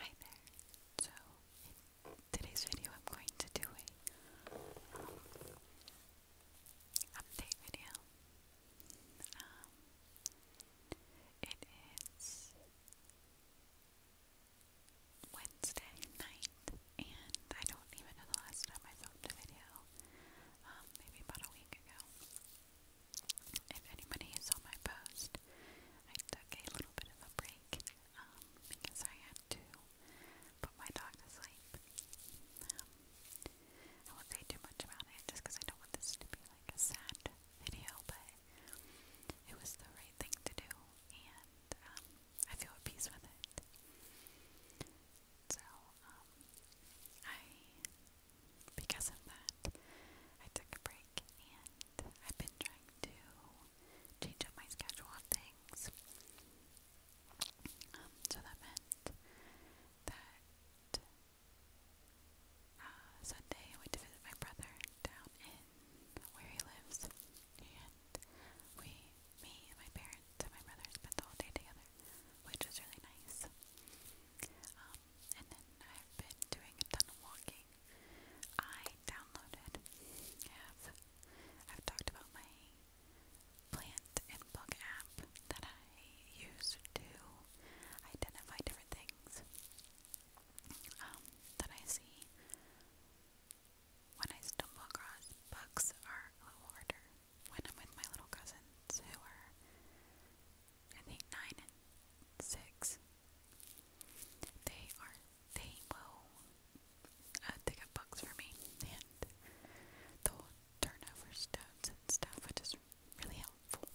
Hi there. So today's video I'm going to do a um, update video. Um, it is Wednesday night and I don't even know the last time I filmed a video. Um, maybe about a week ago. If anybody saw my post, I took a little bit of a break um, because I had to put my dog to sleep. Um, I won't say too much about it just because I don't want this to be like a sad video, but it was the right thing to do and um, I feel at peace with it. So, I, because of that, I took a break and I've been trying to change up my schedule on things. Um, so that meant that uh, Sunday I went to visit my brother down in where he lives, and we, me and my parents and my brother spent the whole day together, which was really nice. Um, and then I've been doing a ton of walking. I downloaded, have, I've talked about my plant and book app that I use to identify different things um, that I see when I stumble across. Books are a little harder when I'm with my little cousins who are, I think, nine and six. They are they will uh, they got books for me and they'll turn and stuff, which is really helpful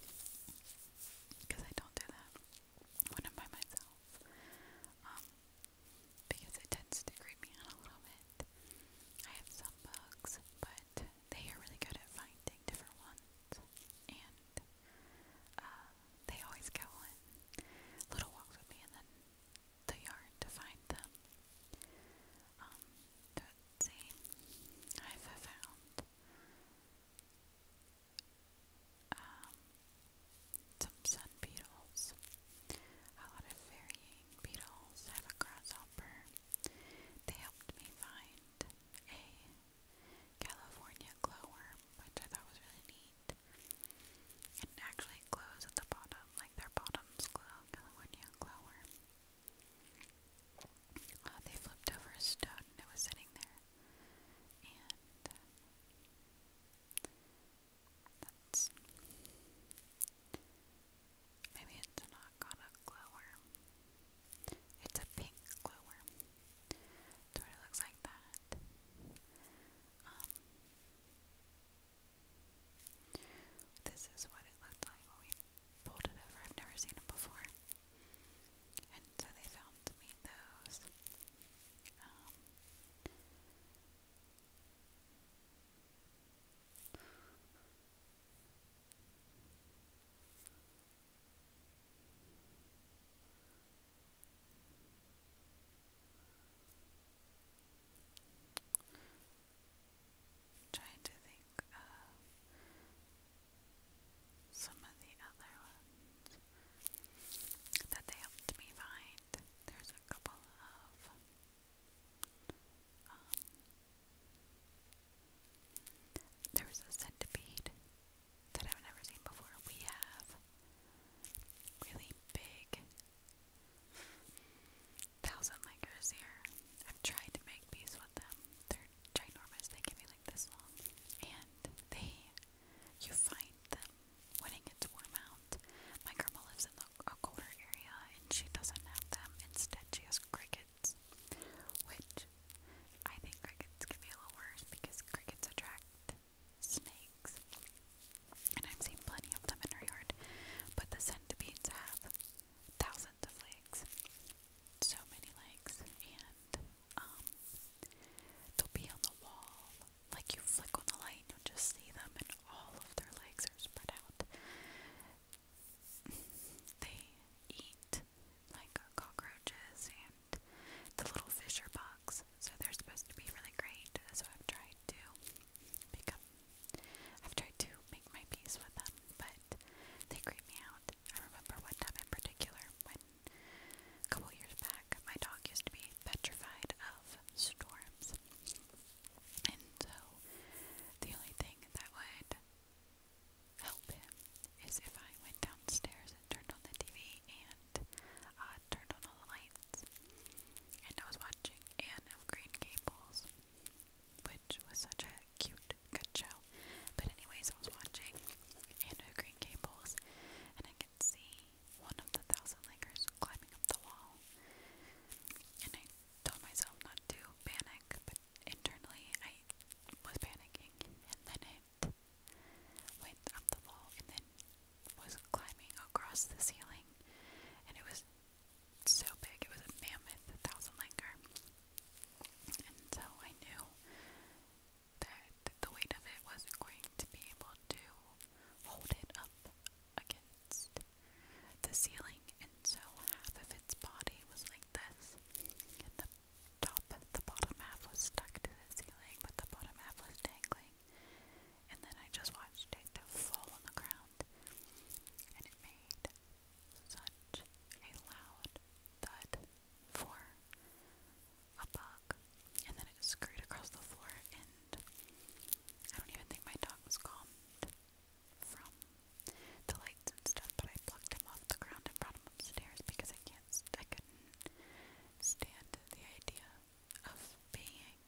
because I don't do that when I'm by myself. Um, because it tends to creep me out a little bit. I have some books, but they are really good at finding different ones and uh, they always go on little walks with me and then the yard to find them. Um, let I've found um, some sun beetles, a lot of varying beetles, have a grasshopper. They helped me find a California glowworm, which I thought was really neat. It actually glows at the bottom, like their bottoms glow. California glowworm. Uh, they flipped over a stone and it was sitting there. And uh, that's maybe it's not got a glowworm. It's a pink glowworm. That's what looks like that. Um, this is what it looked like when we pulled it over. I've never seen them before. And so they found those. Um, I'm trying to think of some of the other ones that they helped me find. There's a couple of um, a centipede that I've never seen before. We have really big thousand ligers here. I've tried to make these with them. They're ginormous. They can be like this long. And they, you find them when it gets warm out. My grandma lives in the, a colder area and she doesn't have them. Instead, she has crickets, which but I think crickets can be a little worse because crickets attract snakes. And I've seen plenty of them in our yard, but the centipedes have thousands of legs. So many legs, and um, they'll be on the wall. Like you flick on the light, you'll just see them, and all of their legs are spread out. they eat like uh, cockroaches and the little fisher bugs. So they're supposed to be really great. So I've tried to pick up, I've tried to make my peace with them, but they creep me out. I remember one time in particular when a couple years back my dog used to be petrified of storms. And so the only thing that would help him is if I went downstairs and turned on the TV and uh, turned on all the lights. And I was watching Anne of Green Gables, which was such a cute, good show. But, anyways, I was watching Anne of Green Gables and I could see one of the thousand lakers climbing up the wall. And I told myself not to panic, but internally I was panicking. And then I went up the wall and then was climbing across the ceiling and it was so big, it was a mammoth a thousand linker. And so I knew that the weight of it wasn't going to be able to hold it up against the ceiling and so half of its body was like this top, the bottom half was stuck to the ceiling, but the bottom half was dangling. And then I just watched it fall on the ground, and it made such a loud thud for a bug. And then it scurried across the floor, and I don't even think my dog was calmed from the like stuff, but I plucked him off the ground and brought him upstairs because I can't, I couldn't stand the idea of being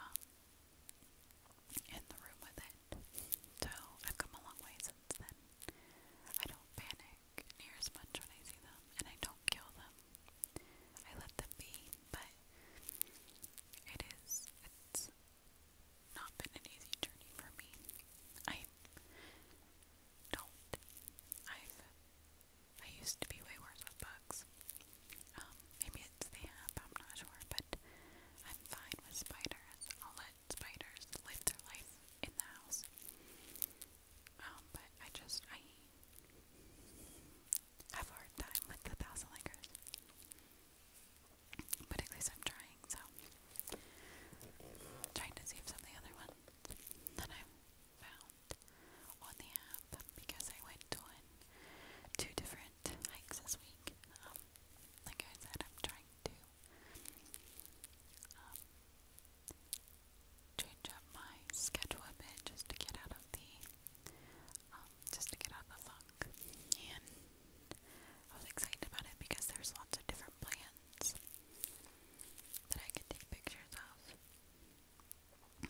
um, in the room with it. So I've come a long way since then. I don't panic near as much when I see them, and I don't kill them. I let them be, but it is, it's not been an easy journey for me. I do I've I used to be way worse with bugs. Um, maybe it's the app, I'm not sure, but I'm fine with spiders. I'll let spiders live their life in the house. Um, but I just I have a hard time with the thousand lickers. But at least I'm trying, so i trying to see if some of the other ones that I found on the app because I went on two different hikes this week. Um, like I said, I'm trying to um, change up my schedule a bit just to get out of the um, just to get out of the funk. And I was excited about it because there's lots of different plans plants that I could take pictures of. Um,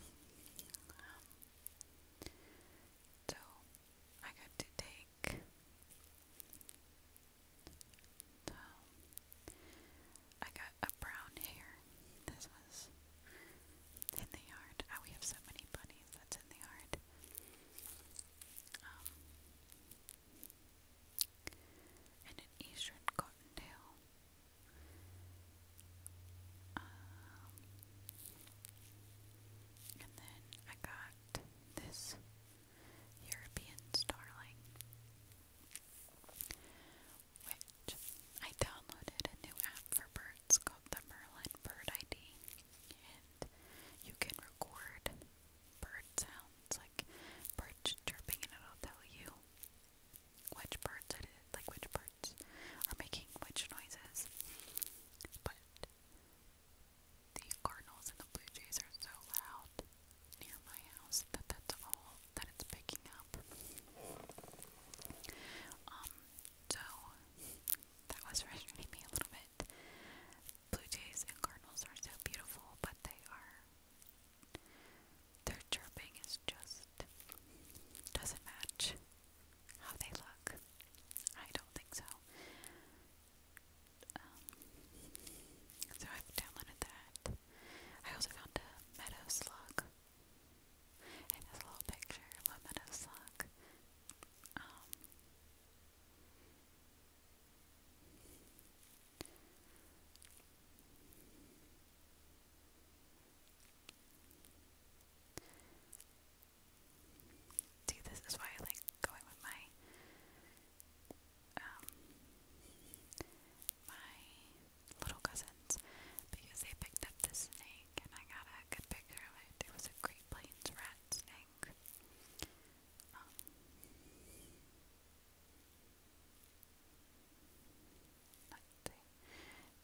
so I got to take um, I got a brown hair. This was in the yard. Oh, we have so many bunnies that's in the yard. Um, and an eastern cottontail. Um, and then I got this European starling, which I downloaded a new app for birds called the Merlin Bird ID, and you can record bird sounds like birds chirping, and it'll tell you which birds it is, like which birds are making which noises. But the cardinals and the blue jays are so loud near my house that that's all that it's picking up. Um, so that was frustrating me a little bit. Blue jays and cardinals are so beautiful, but they are. Their chirping is just. doesn't match how they look. I don't think so. Um, so i downloaded that. I also found a meadow slug. It a little picture of a meadow slug. Um, See, this is why I like going with my um my little cousins because they picked up the snake and I got a good picture of it. It was a Great Plains rat snake. Um,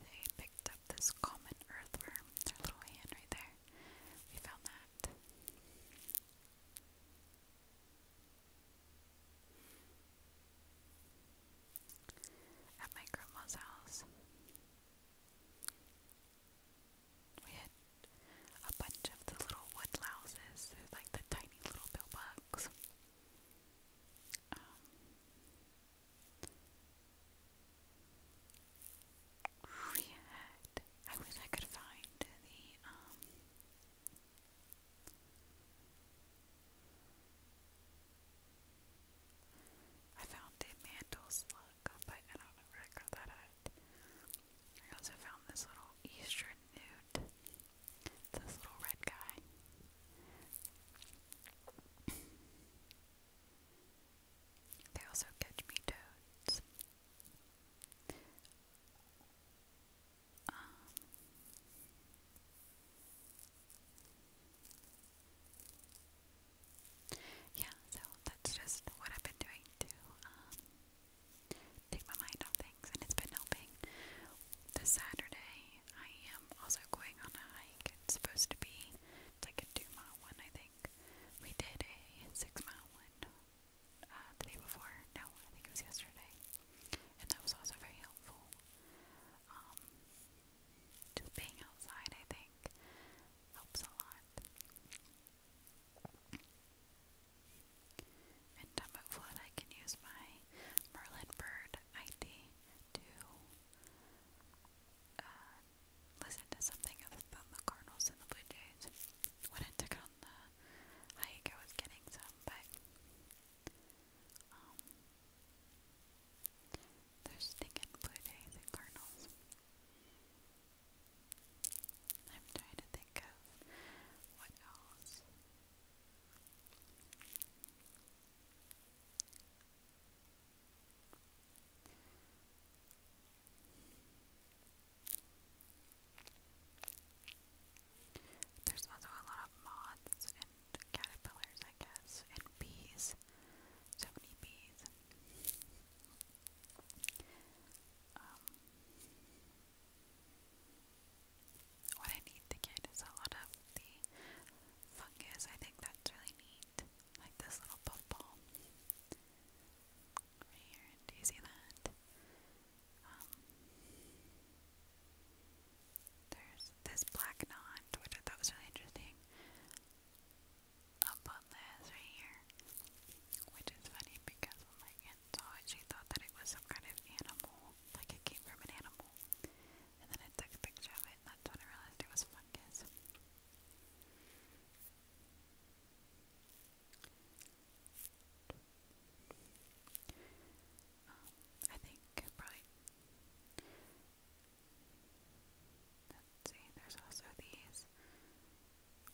like picked up this common earthworm, their little hand right there. We found that. At my grandma's house. We had a bunch of the little woodlouses, they're like the tiny little bill um, we had, I wish I could find the, um, I found a mantle slug, I don't know that at. I also found this little eastern newt. this little red guy. they also catch me toads. Um, yeah, so that's just what I've been doing to um, take my mind off things, and it's been helping. This Saturday, I am also going on a hike. It's supposed to be it's like a two mile one, I think. We did a six mile one uh, the day before. No, I think it was yesterday, and that was also very helpful. Um, just being outside, I think, helps a lot. In Dumb I can use my Merlin Bird ID to uh, listen to something other than the Cardinals and the Blue Jays. When I took on the hike, I was getting some, but um, stinking Blue Jays and Cardinals. I'm trying to think of what else. There's also a lot of moths and caterpillars, I guess, and bees. So many bees. Um, what I need to get is a lot of the fungus. I think that's really neat. Like this little puffball. Right here. Do you see that? Um, there's this black knot, which I thought was really interesting. Up on this right here. Which is funny because I'm like, so she thought that it was some kind of animal, like it came from an animal. And then I took a picture of it, and that's when I realized it was fungus. Um, I think probably. Let's see, there's also these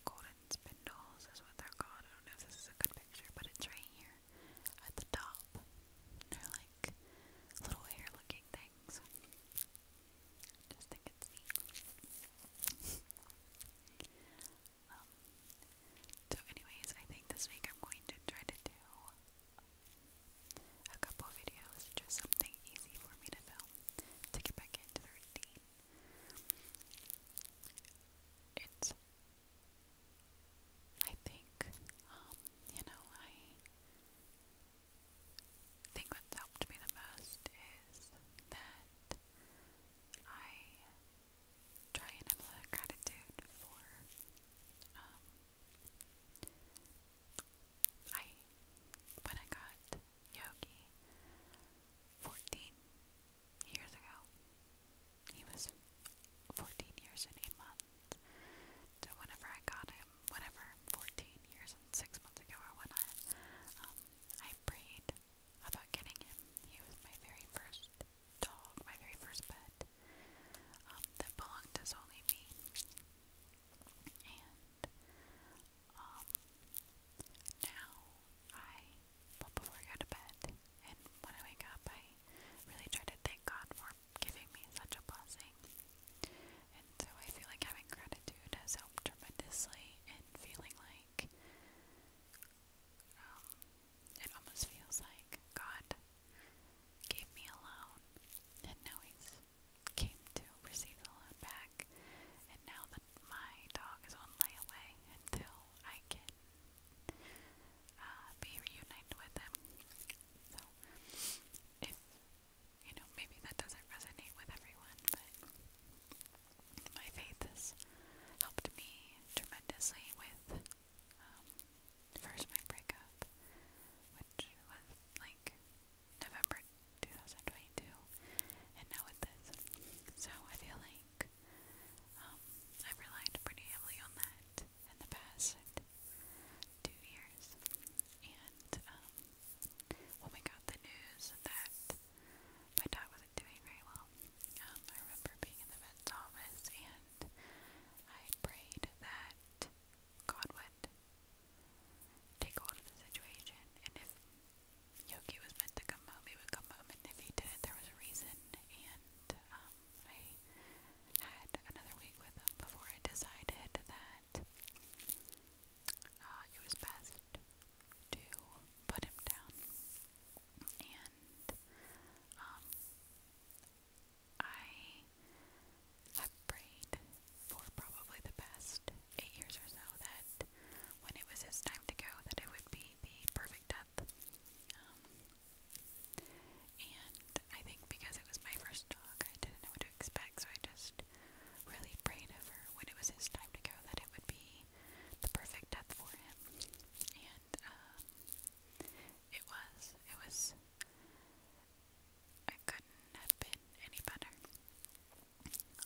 golden spindles is what they're called. I don't know if this is a good picture, but it's right here at the top. They're like little hair looking things. just think it's neat. Um, so, anyways, I think this week I'm going to try to do a couple videos, just something easy for me to film to get back into the routine. It's I think, um, you know, I think what's helped me the most is that I try and have gratitude for, um, I, when I got yogi, 14 years ago. He was 14 years and a month. So whenever I got him, whenever 14 years and 6 months ago or when I, um, I prayed about getting him. He was my very first dog, my very first pet um, that belonged to solely me. Um, now I, well, before I go to bed and when I wake up, I really try to thank God for giving me such a blessing. And so I feel like having gratitude has helped tremendously in feeling like, um, it almost feels like God gave me a loan, and now He's came to receive the loan back, and now the my dog is on layaway until I can uh, be reunited with him. So, if you know, maybe that doesn't resonate with everyone, but my faith has helped me tremendously with um, first my breakup, which was like November 2022, and now with this. So I feel like um, i relied pretty heavily on that in the past two years. And, um, when we got the news that my dad wasn't doing very well, um, I remember being in the vet's office and I prayed that God would take hold of the situation and if Yogi was meant to come home, he would come home, and if he didn't, there was a reason. And um, I had another week with him before I decided that uh, it was best to put him down. And um, I have prayed for probably the best eight years or so that when it was his time to go, that it would be the perfect death. Um, and I think because it was my first dog, I didn't know what to expect, so I just really prayed over when it was his time to go that it would be the perfect death for him. And um, it was. It was. I couldn't have been any better.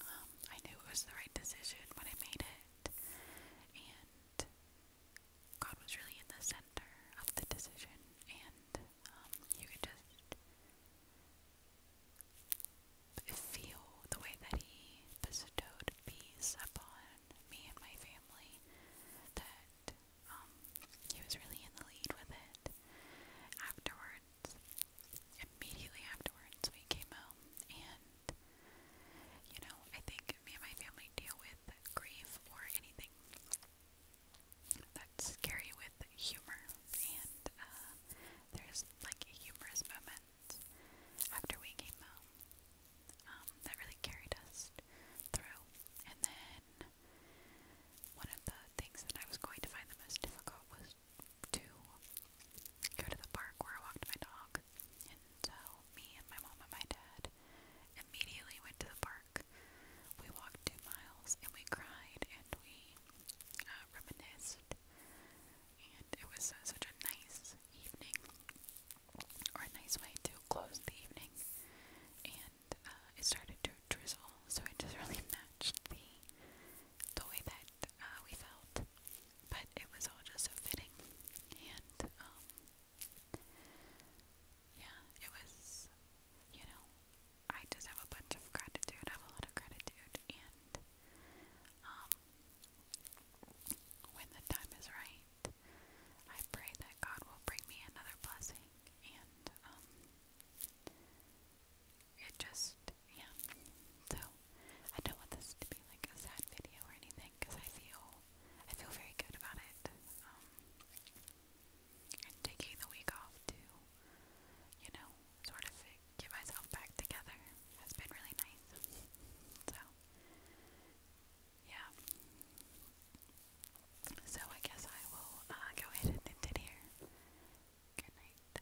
Um, I knew it was the right decision when I made it, and God was really in the center of the decision, and um, you could just feel the way that He bestowed peace upon me and my family. That um, He was really in the lead with it. Afterwards, immediately afterwards, we came home and you know, I think me and my family deal with grief or anything that's scary with humor, and uh, there's like a humorous moment after we came home um, that really carried us through. And then one of the things that I was going to find the most difficult was to go to the park where I walked my dog. And so me and my mom and my dad immediately went to the park. We walked two miles and we cried and we uh, reminisced. And it was uh, such a nice evening, or a nice way to close the evening. And uh, it started to drizzle, so it just really matched the the way that uh, we felt, but it was all just so fitting, and um, yeah, it was, you know, I just have a bunch of gratitude. have a lot of gratitude, and um, when the time is right, I pray that God will bring me another blessing, and um, it just, yeah. So, I don't want this to be like a sad video or anything because I feel, I feel very good about it. Um, and taking the week off to, you know, sort of get myself back together has been really nice. So, yeah. So I guess I will uh, go ahead and end it here. Good night.